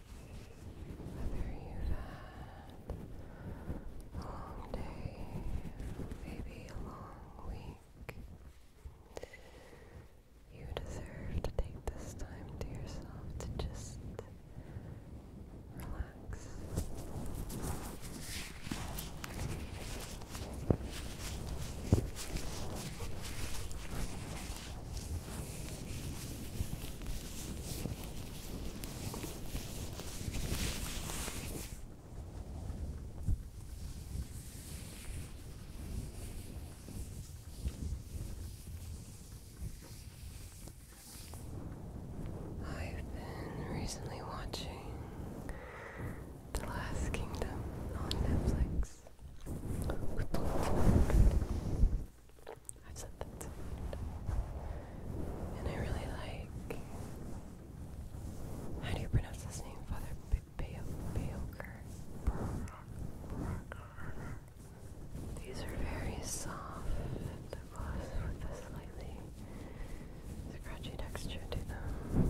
Whether you've had a long day, maybe a long week, you deserve to take this time to yourself to just relax. I've been recently watching The Last Kingdom on Netflix. I've sent them to much. And I really like. How do you pronounce his name, Father Bayoker? These are very soft with a slightly scratchy texture to them.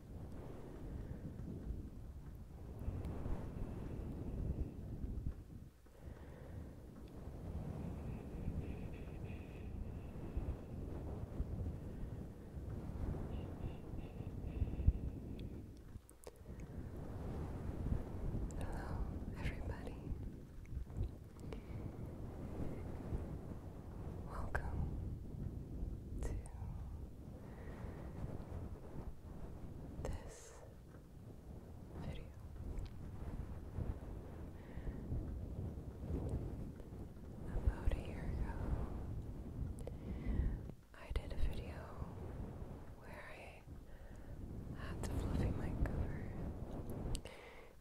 Hello, everybody. Welcome to this video. About a year ago, I did a video where I had the fluffy mic cover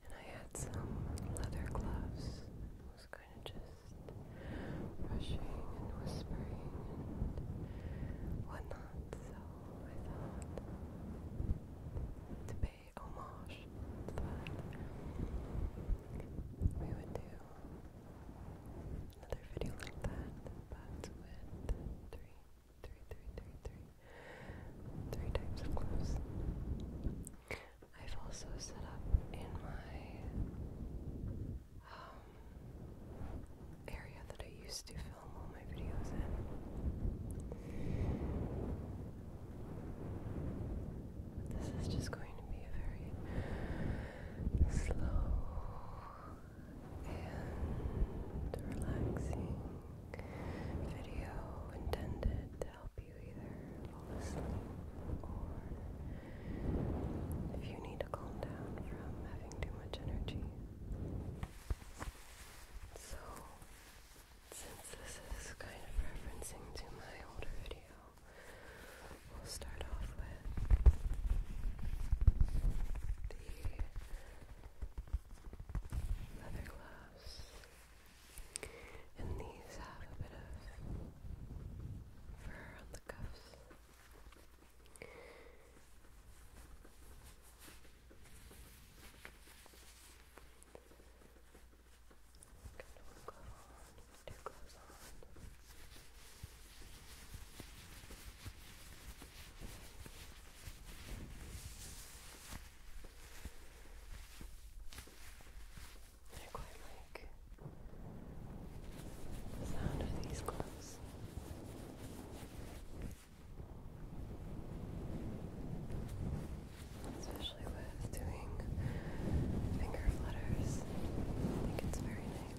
and I had some leather gloves. I was kind of just rushing and whispering and whatnot. So I thought to pay homage we would do another video like that, but with three, three, three, three, three, three types of clothes. I've also set up in my um, area that I used to film all my videos in. This is just going to be a very slow and relaxing video intended to help you either fall asleep or if you need to calm down from having too much energy. So, since this is kind of referencing to my older video, we'll start off with the leather gloves. And these have a bit of fur on the cuffs. Kind of on, two gloves on. I quite like the sound of these gloves. Especially with doing finger flutters, I think it's very nice.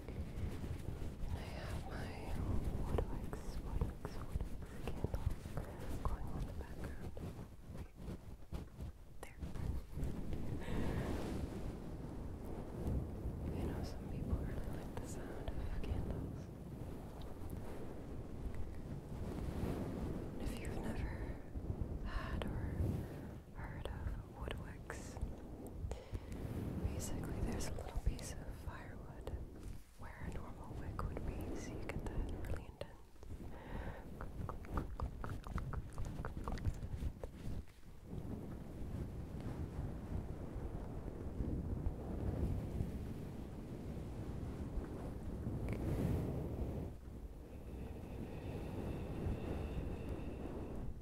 I have my Waterwax, Waterwax, Waterwax candle going on the background. There. I know some people really like the sound of candles. If you've never had or heard of woodworks. Basically, there's a little piece of firewood where a normal wick would be, so you get that really intense.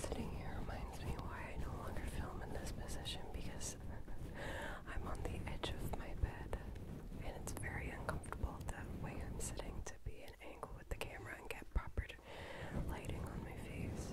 Sitting here reminds me why I no longer film in this position because I'm on the edge of my bed and it's very uncomfortable that way I'm sitting to be an angle with the camera and get proper weird lighting on my face.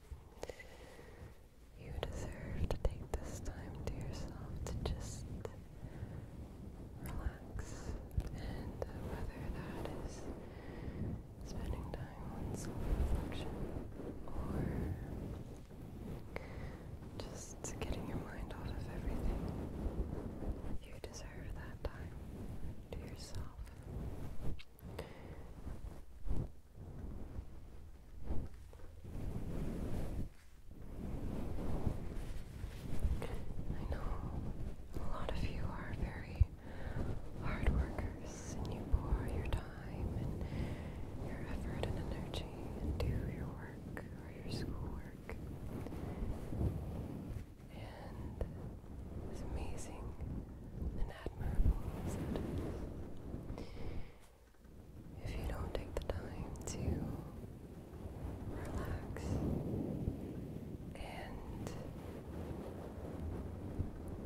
You deserve to take this time to yourself to just relax, and uh, whether that is spending time on self reflection or just getting your mind off of everything, you deserve that time to yourself. I know a lot of you are very hard workers and you pour your time and your effort and energy into your work or your schoolwork is amazing and admirable, If you don't take the time to relax and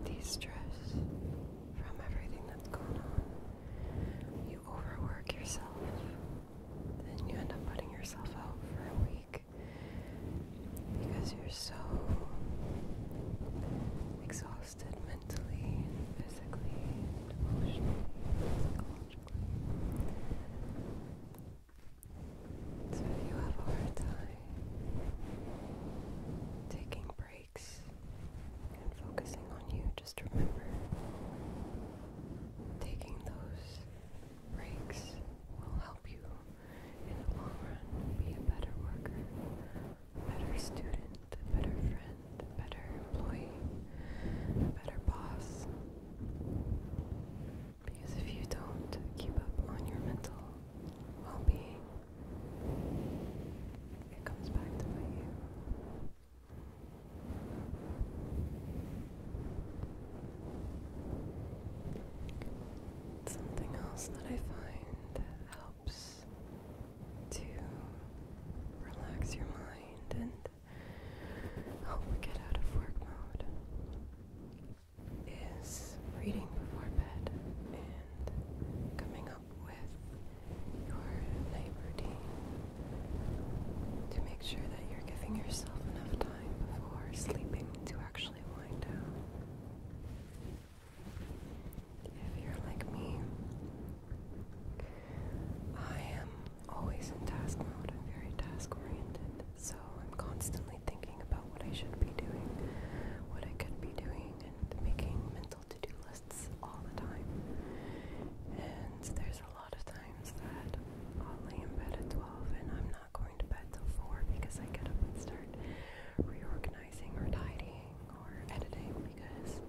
de stress from everything that's going on, you overwork yourself, then you end up putting yourself out for a week because you're so exhausted mentally physically emotionally psychologically. So you have a hard time taking breaks and focusing on you, just remember taking those breaks will help you in the long run, be a better worker, better student, a better friend, a better employee, a better boss. Because if you don't keep up on your mental well being, it comes back to bite you. Something else that I find helps to relax your mind and get out of work mode is reading before bed and coming up with your night routine to make sure that you're giving yourself enough time before sleeping to actually wind down. If you're like me, I am always in task mode. I'm very task oriented, so I'm constantly thinking about what I should be doing, what I could be doing, and making mental to do lists all the time. And there's a lot of times that I'll lay in bed at 12 and I'm not going to bed till 4 because I get up and start reorganizing or tidying or editing because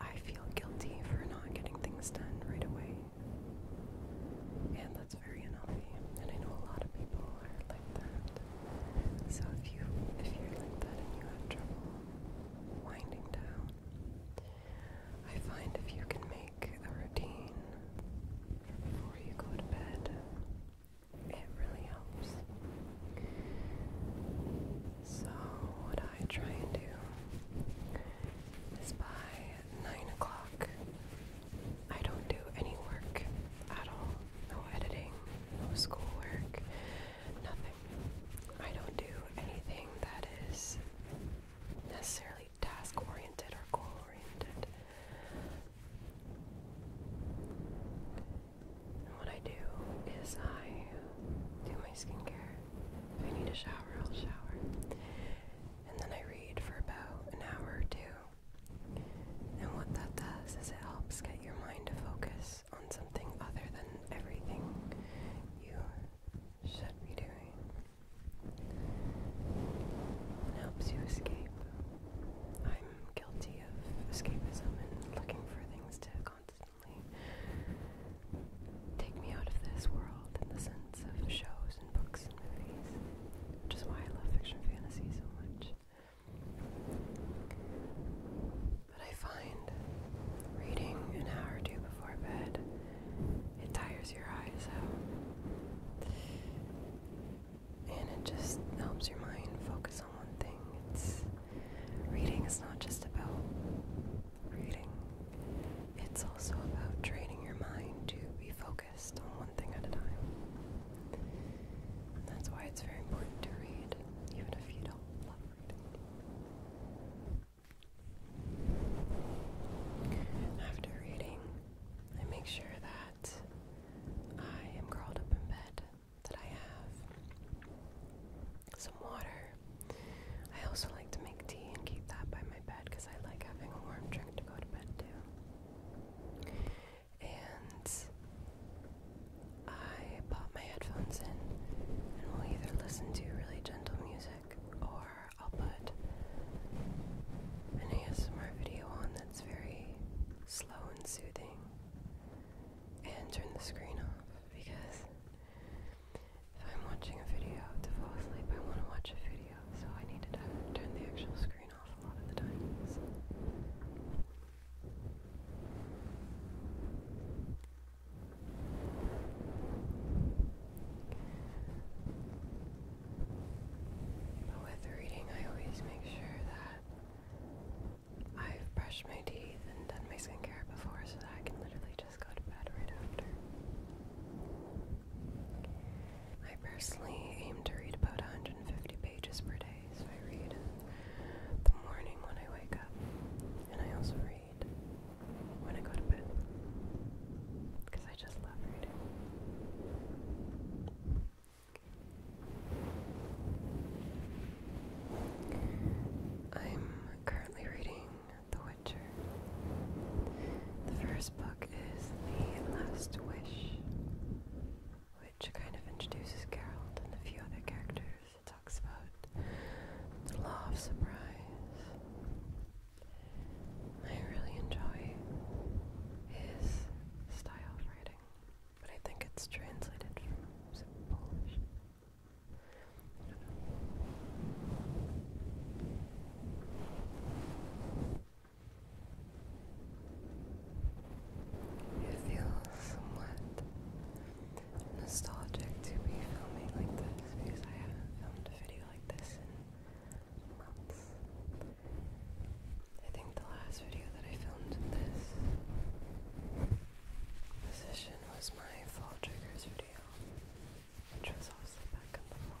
I feel guilty for not getting things done right away. And that's very unhealthy. And I know a lot of people are like that. So if you if you're like that and you have trouble winding down, I find if you can make a routine before you go to bed it really helps. So, what I try and do is by 9 o'clock, I don't do any work at all. No editing, no schoolwork, nothing. I don't do anything that is necessarily task oriented or goal oriented. And what I do is I do my skincare. If I need a shower, I'll shower. And then I read for about an hour or two. And what that does is it helps get your mind to focus on something other than everything you should be doing. It helps you escape guilty of escapism and looking for things to constantly take me out of this world in the sense of shows and books and movies, which is why I love fiction fantasy so much. But I find reading an hour or two before bed, it tires your eyes out and it just helps your mind focus on one thing. It's reading is not just about reading. It's also about training your mind to be focused on one thing at a time. that's why it's very important to read, even if you don't love reading. After reading, I make sure that I am curled up in bed, that I have some water. I also like to make tea and keep that by my bed because I like having a warm drink to go to bed too. And I pop my headphones in and we will either listen to really gentle music or I'll put an ASMR video on that's very slow slow and soothing and turn the screen off because if I'm watching a video to fall asleep, I want to watch a video, so I need to turn the actual screen off a lot of the times. But with reading, I always make sure that I've brushed my teeth and done my skincare before, so that I can literally just go to bed right after. I personally aim to read about 150 pages per day, so I read the morning when I wake up, and I also read when I go to bed because I just love reading. I'm currently reading The Witcher. The first book is The Last Wish, which kind of introduces Geralt and a few other characters. It talks about the law of surprise. I really enjoy his style of writing. But I think it's translated from Polish. I do somewhat nostalgic to be filming like this because I haven't filmed a video like this in months. I think the last video that I filmed in this position was my fall triggers video, which was also back in the fall.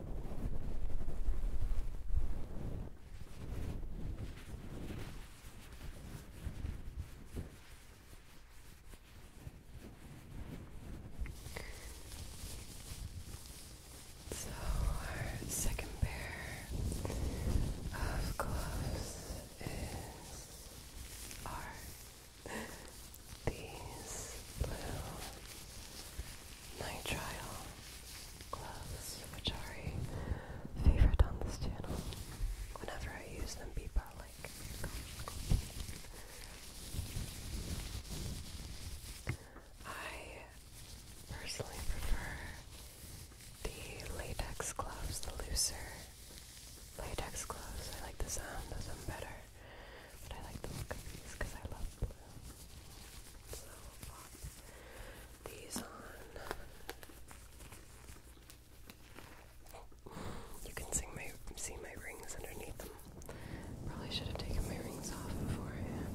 So, our second pair of gloves is R these blue nitrile gloves, which are a favorite on this channel. Whenever I use them, people like, I personally prefer the latex gloves, the looser latex gloves. I like the sound of them better but I like the look of these because I love blue. So these on. You can see my, see my rings underneath them. Probably should have taken my rings off beforehand.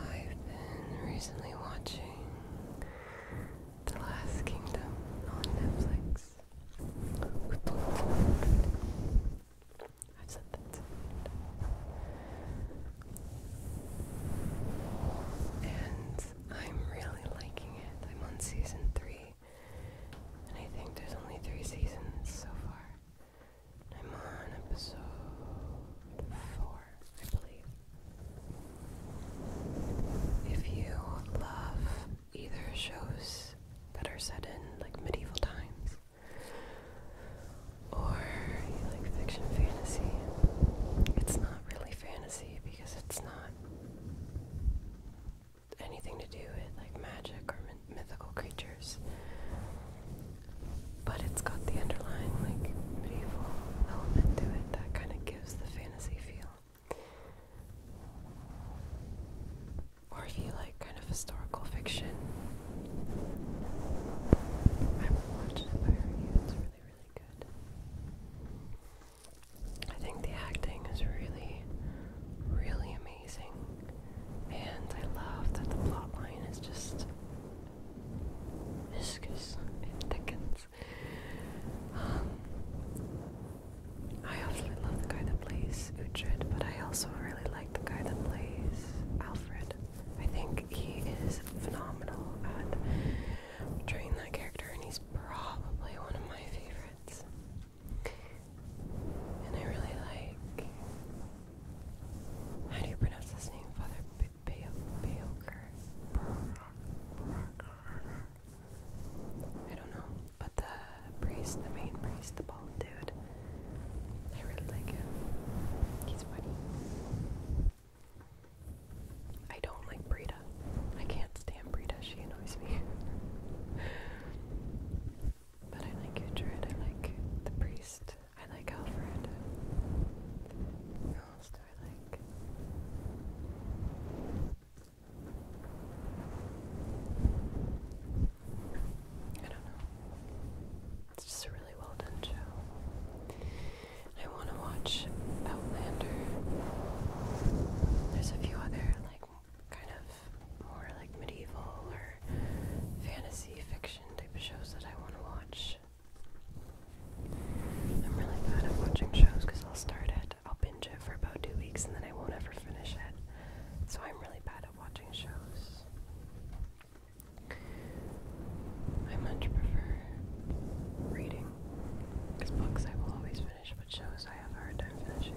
I've been recently watching The Last Kingdom on Netflix. I've said that. And I'm really liking it. I'm on season three, and I think there's only three seasons so far. I'm on episode four, I believe. If you love either shows that are set in like medieval times, or you like fiction fantasy, it's not really fantasy because it's not anything to do with like magic or mythical creatures. But it's got the underlying like medieval element to it that kind of gives the fantasy feel. Or if you like kind of historical fiction, I would watch it by It's really, really good. I think the acting is really, really amazing. And I love that the plot line is just viscous. It thickens. Um, I absolutely love the guy that plays Uhtred, but I also really like the guy that plays Alfred. I think he is phenomenal at portraying that character, and he's probably one of my favorites. And I really like. How do you pronounce his name, Father Bayoker? I don't know, but the priest, the main priest, the bald dude. I really like him. He's funny. I don't like Brita. I can't stand Brita. She annoys me. but I like Uhtred. I like the priest. I like Alfred. Who else do I like? I don't know. It's just a really well done show. I want to watch Outlander. There's a few other like kind of more like medieval or fantasy fiction type of shows that I want to watch. I'm really bad at watching shows because I'll start it, I'll binge it for about two weeks, and then I won't ever finish it. So I'm really bad at watching shows. I much prefer reading. Because books I will always finish, but shows I have a hard time finishing.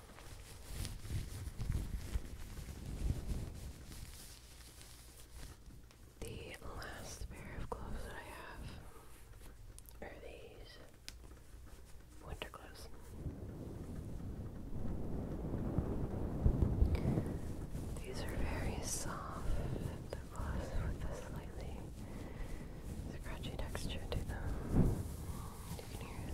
The last pair of gloves that I have are these winter gloves. These are very soft, the gloves with a slightly scratchy texture to them. You can hear it.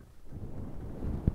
This one thread. Okay,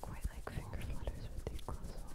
Quite like finger flutters with these gloves on.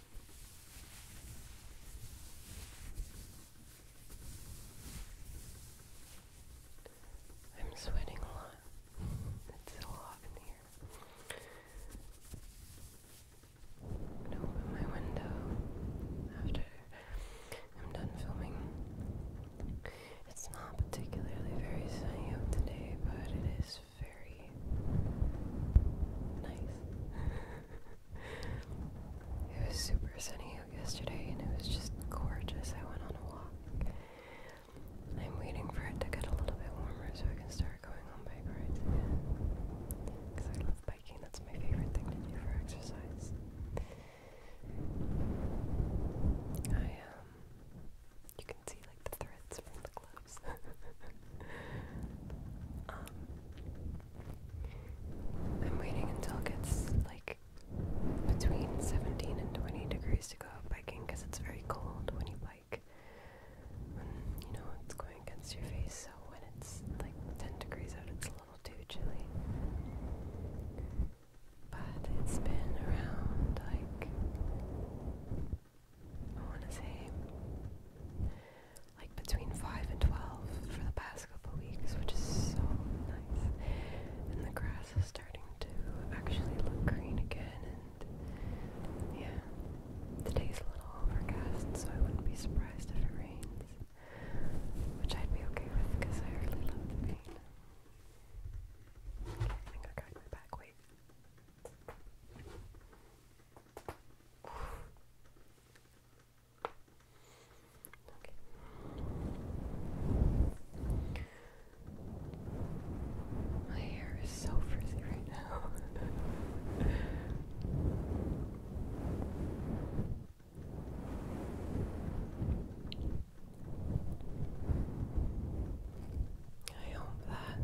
I'm sweating a lot. It's so hot in here. I'm gonna open my window after I'm done filming. It's not particularly very sunny out today, but it is very nice. it was super sunny out yesterday and it was just gorgeous. I went on a walk. I'm waiting for it to get a little bit warmer so I can start going on bike rides again. Because I love biking, that's my favorite thing to do for exercise. I, um, you can see like the threads from the gloves. Um, I'm waiting until it gets like between 17 and 20 degrees to go out biking because it's very cold when you bike. When you know it's going against your face, so when it's like 10 degrees out, it's a little too chilly. But it's been around like I want to say like between 5 and 12 for the past couple weeks, which is so nice. And the grass is starting to actually look green again. And yeah, today's a little overcast, so I wouldn't be surprised if it rains, which I'd be okay with because I really love the rain. Okay, I think I got my back weight. Okay. My hair is so frizzy right now. I hope that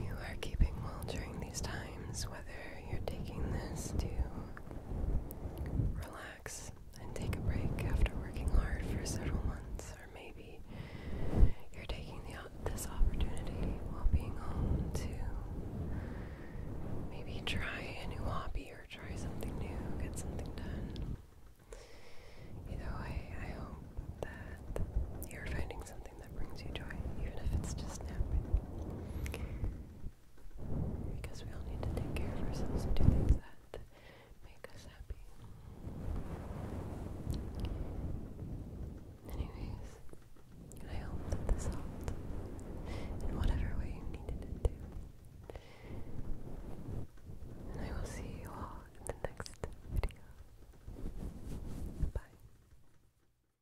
you are keeping well during these times, whether you're taking this to relax and take a break after working hard for several months, or maybe you're taking this opportunity while being home to maybe try a new hobby or try something new, get something done. You know, I hope that you're finding something that brings you joy, even if it's just napping. Because we all need to take care of ourselves and do things that make us happy. Anyways, I hope that this helped in whatever way you needed it to. And I will see you all in the next video. Bye.